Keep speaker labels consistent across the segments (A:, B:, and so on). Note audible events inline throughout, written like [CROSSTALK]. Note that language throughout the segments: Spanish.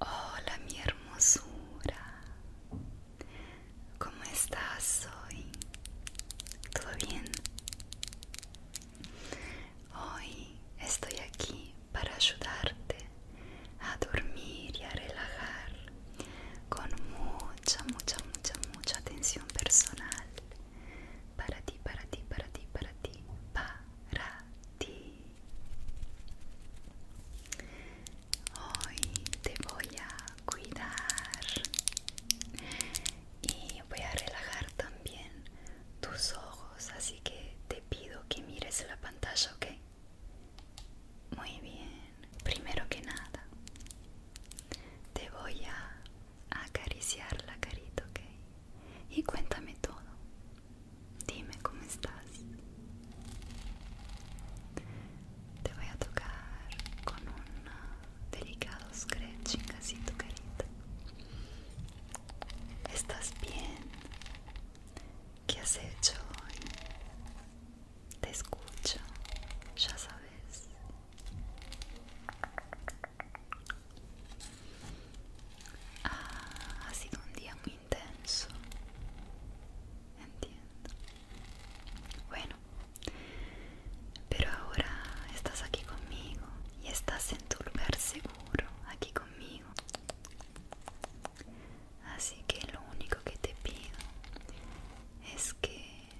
A: Hola mi hermosura, ¿cómo estás hoy? ¿Todo bien? Hoy estoy aquí para ayudarte a dormir y a relajar con mucha, mucha, mucha, mucha atención personal para ti, para ti, para ti, para ti, para ti. Hoy te voy a cuidar y voy a relajar también tus ojos, así que te pido que mires la pantalla, ¿ok? Muy bien, primero que nada, te voy a acariciar la carita, ¿ok? Y cuéntame todo. Dime cómo estás. Te voy a tocar con un delicado scratching así tu carita. ¿Estás bien? ¿Qué has hecho hoy? Te escucho, ya sabes. Ah, ha sido un día muy intenso. Entiendo. Bueno, pero ahora estás aquí conmigo y estás en tu lugar seguro, aquí conmigo. Así que lo único que te pido es que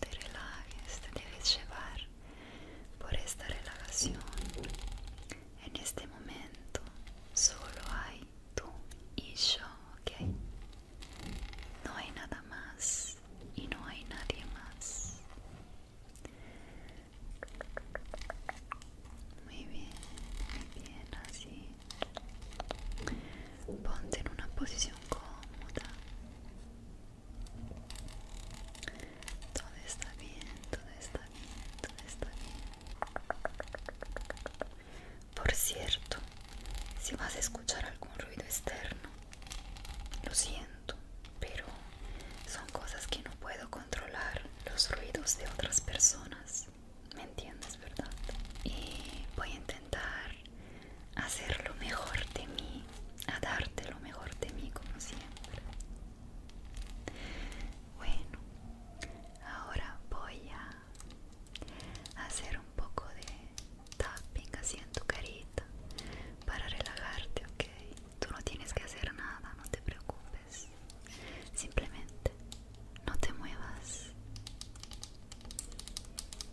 A: te relajes, te debes llevar por esta relajación. En este momento solo hay tú y yo, ¿ok? No hay nada más y no hay nadie más. Muy bien, muy bien, así. Ponte en una posición cómoda. Todo está bien, todo está bien, todo está bien. Por cierto, si vas a escuchar algún ruido externo, lo siento, pero son cosas que no puedo controlar, los ruidos de otras personas. ¿Me entiendes, verdad? Y voy a intentar hacer lo mejor de mí, a darte lo mejor de mí como siempre. Bueno, ahora voy a hacer un poco de tapping así en tu carita para relajarte, ok. Tú no tienes que hacer nada, no te preocupes. Simplemente no te muevas.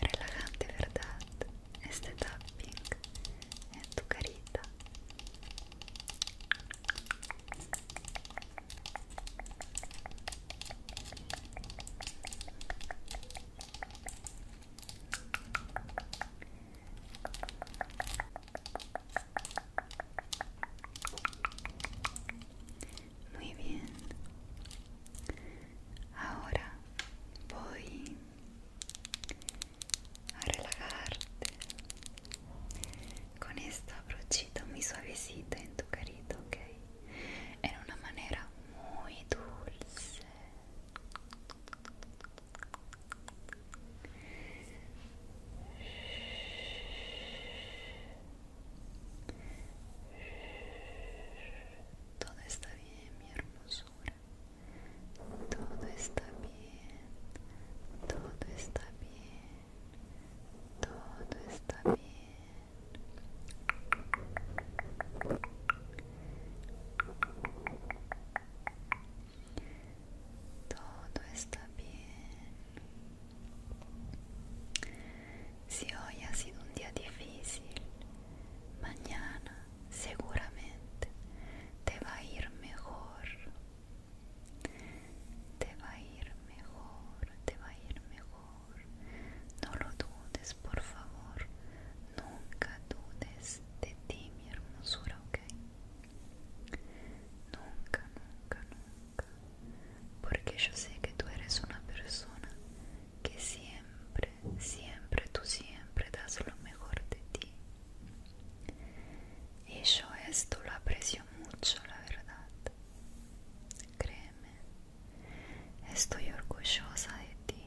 A: Relajante, ¿verdad? Este tapping en tu carita. Muy bien. Ahora voy a relajarte con esta brochita muy suavecita en tu carita, ¿ok? En una manera muy dulce. Todo está bien, mi hermosura. Todo está bien. Todo está bien. Todo está bien. Todo está bien. Si hoy ha sido un día difícil, mañana seguramente te va a ir mejor. Te va a ir mejor, te va a ir mejor. No lo dudes, por favor. Nunca dudes de ti, mi hermosura, ¿ok? Nunca, nunca, nunca. Porque yo sé que tú eres una persona que siempre, siempre, tú siempre das lo mejor de ti. Y yo esto lo aprecio mucho, la verdad. Créeme, estoy orgullosa de ti.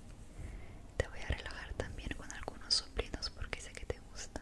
A: Te voy a relajar también con algunos soplinos porque sé que te gusta.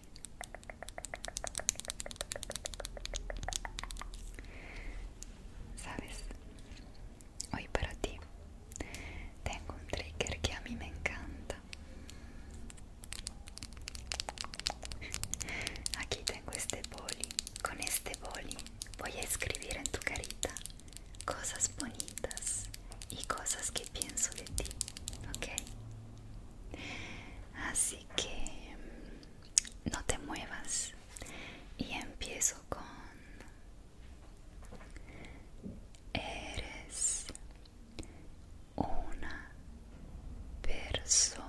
A: Sabes, hoy para ti tengo un trigger que a mí me encanta. Aquí tengo este boli. Con este boli voy a escribir en tu carita cosas bonitas y cosas que pienso de ti, ¿ok? Así que mm, no te muevas y empiezo con eres una persona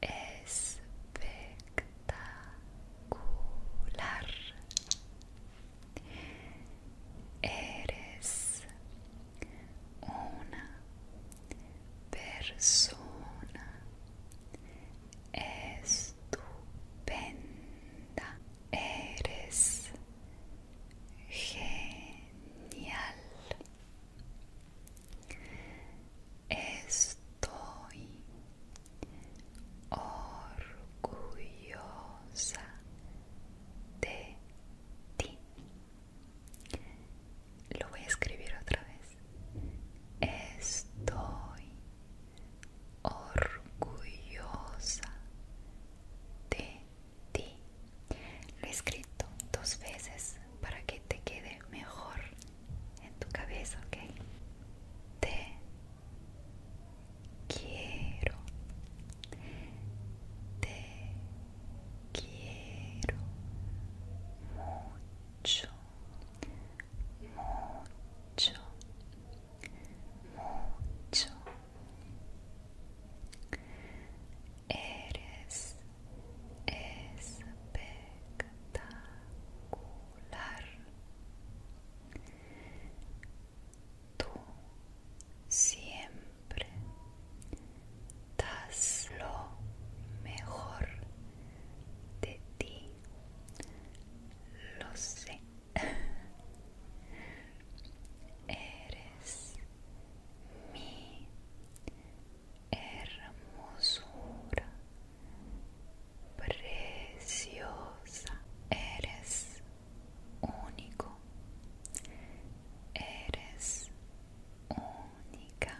A: espectacular Eres una persona estupenda. Eres genial. Estoy orgullosa de ti. Lo voy a escribir otra vez. Estoy orgullosa de ti. Lo he escrito dos veces para que te quede mejor en tu cabeza, ¿ok? De quiero te quiero mucho mucho mucho eres espectacular tú siempre das lo mejor de ti. Lo sé. [LAUGHS] Eres mi hermosura preciosa. Eres único. Eres única.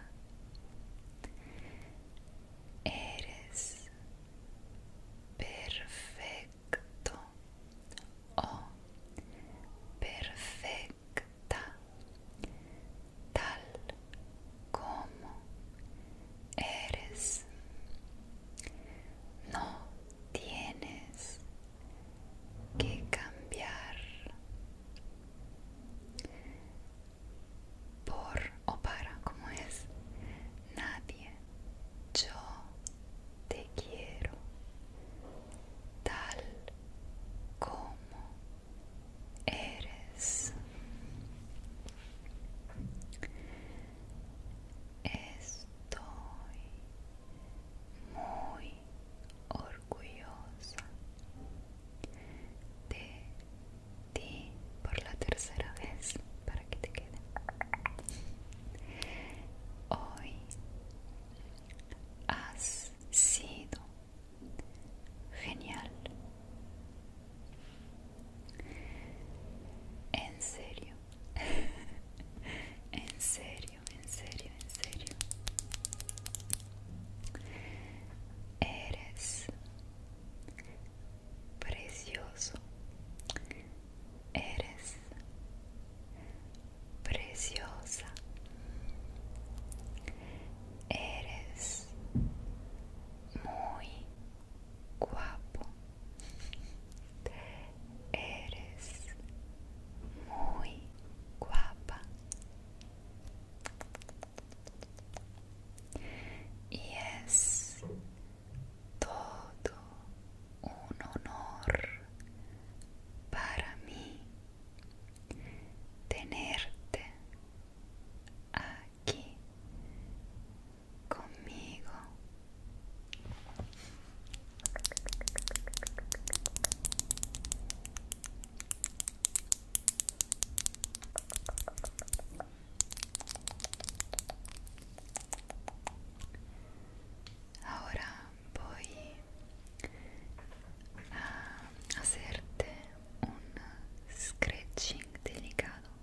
A: Eres perfecto o oh, perfecta tal como eres. No tienes que cambiar por o para, como es, nadie, yo te quiero tal como eres. Estoy muy orgullosa de ti por la tercera vez para que te quede. Hoy has sido genial. En serio. [LAUGHS] en serio, en serio, en serio. Eres precioso. Eres preciosa. Eres muy guapo. Eres muy guapa y es todo un honor para mí tenerte aquí conmigo. Ahora voy a hacerte un scratching delicado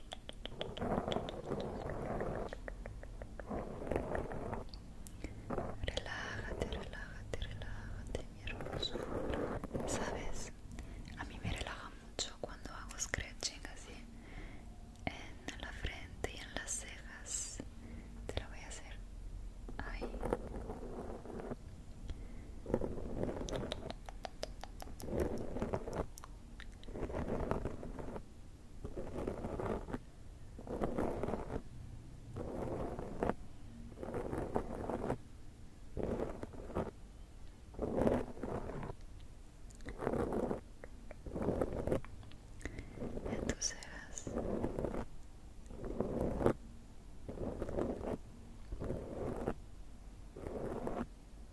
A: Relájate, relájate, relájate, mi hermoso. Sabes, a mí me relaja mucho cuando hago scratching así en la frente y en las cejas. Te lo voy a hacer ahí. ¿Y tú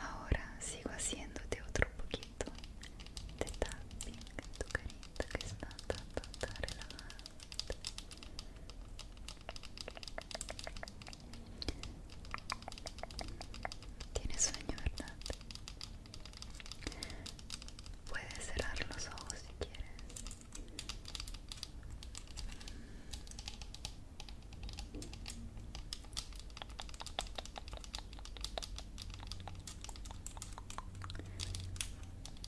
A: Ahora sigo haciéndote otro poquito de tapping en tu carita que está tan, Tienes sueño, ¿verdad? Puedes cerrar los ojos si quieres.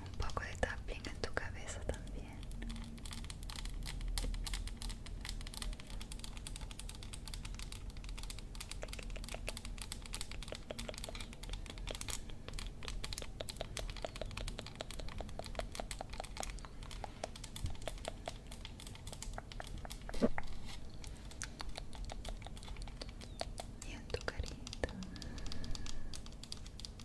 A: Um pouco de tapinha em tu cabeça também. bien. Y en tu carita.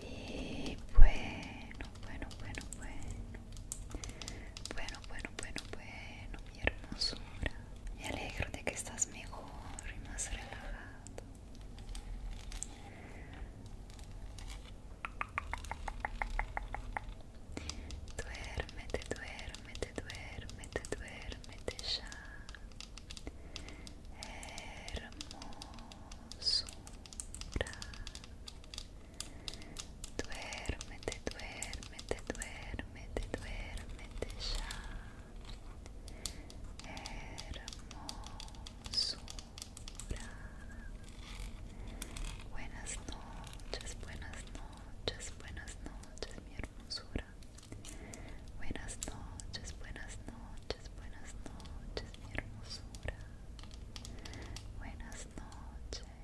A: Y bueno, bueno, bueno, bueno. Bueno, bueno, bueno, bueno hermoso. hermosura. Me alegro de que estás mejor y más relajado. Duérmete, duérmete, duérmete, duérmete ya. Hermosura. Duérmete, duérmete, duérmete. Duerme, duérmete ya, hermosura. Buenas noches, buenas noches, buenas noches, mi hermosura. Buenas noches, buenas noches, buenas noches, mi hermosura. Buenas noches.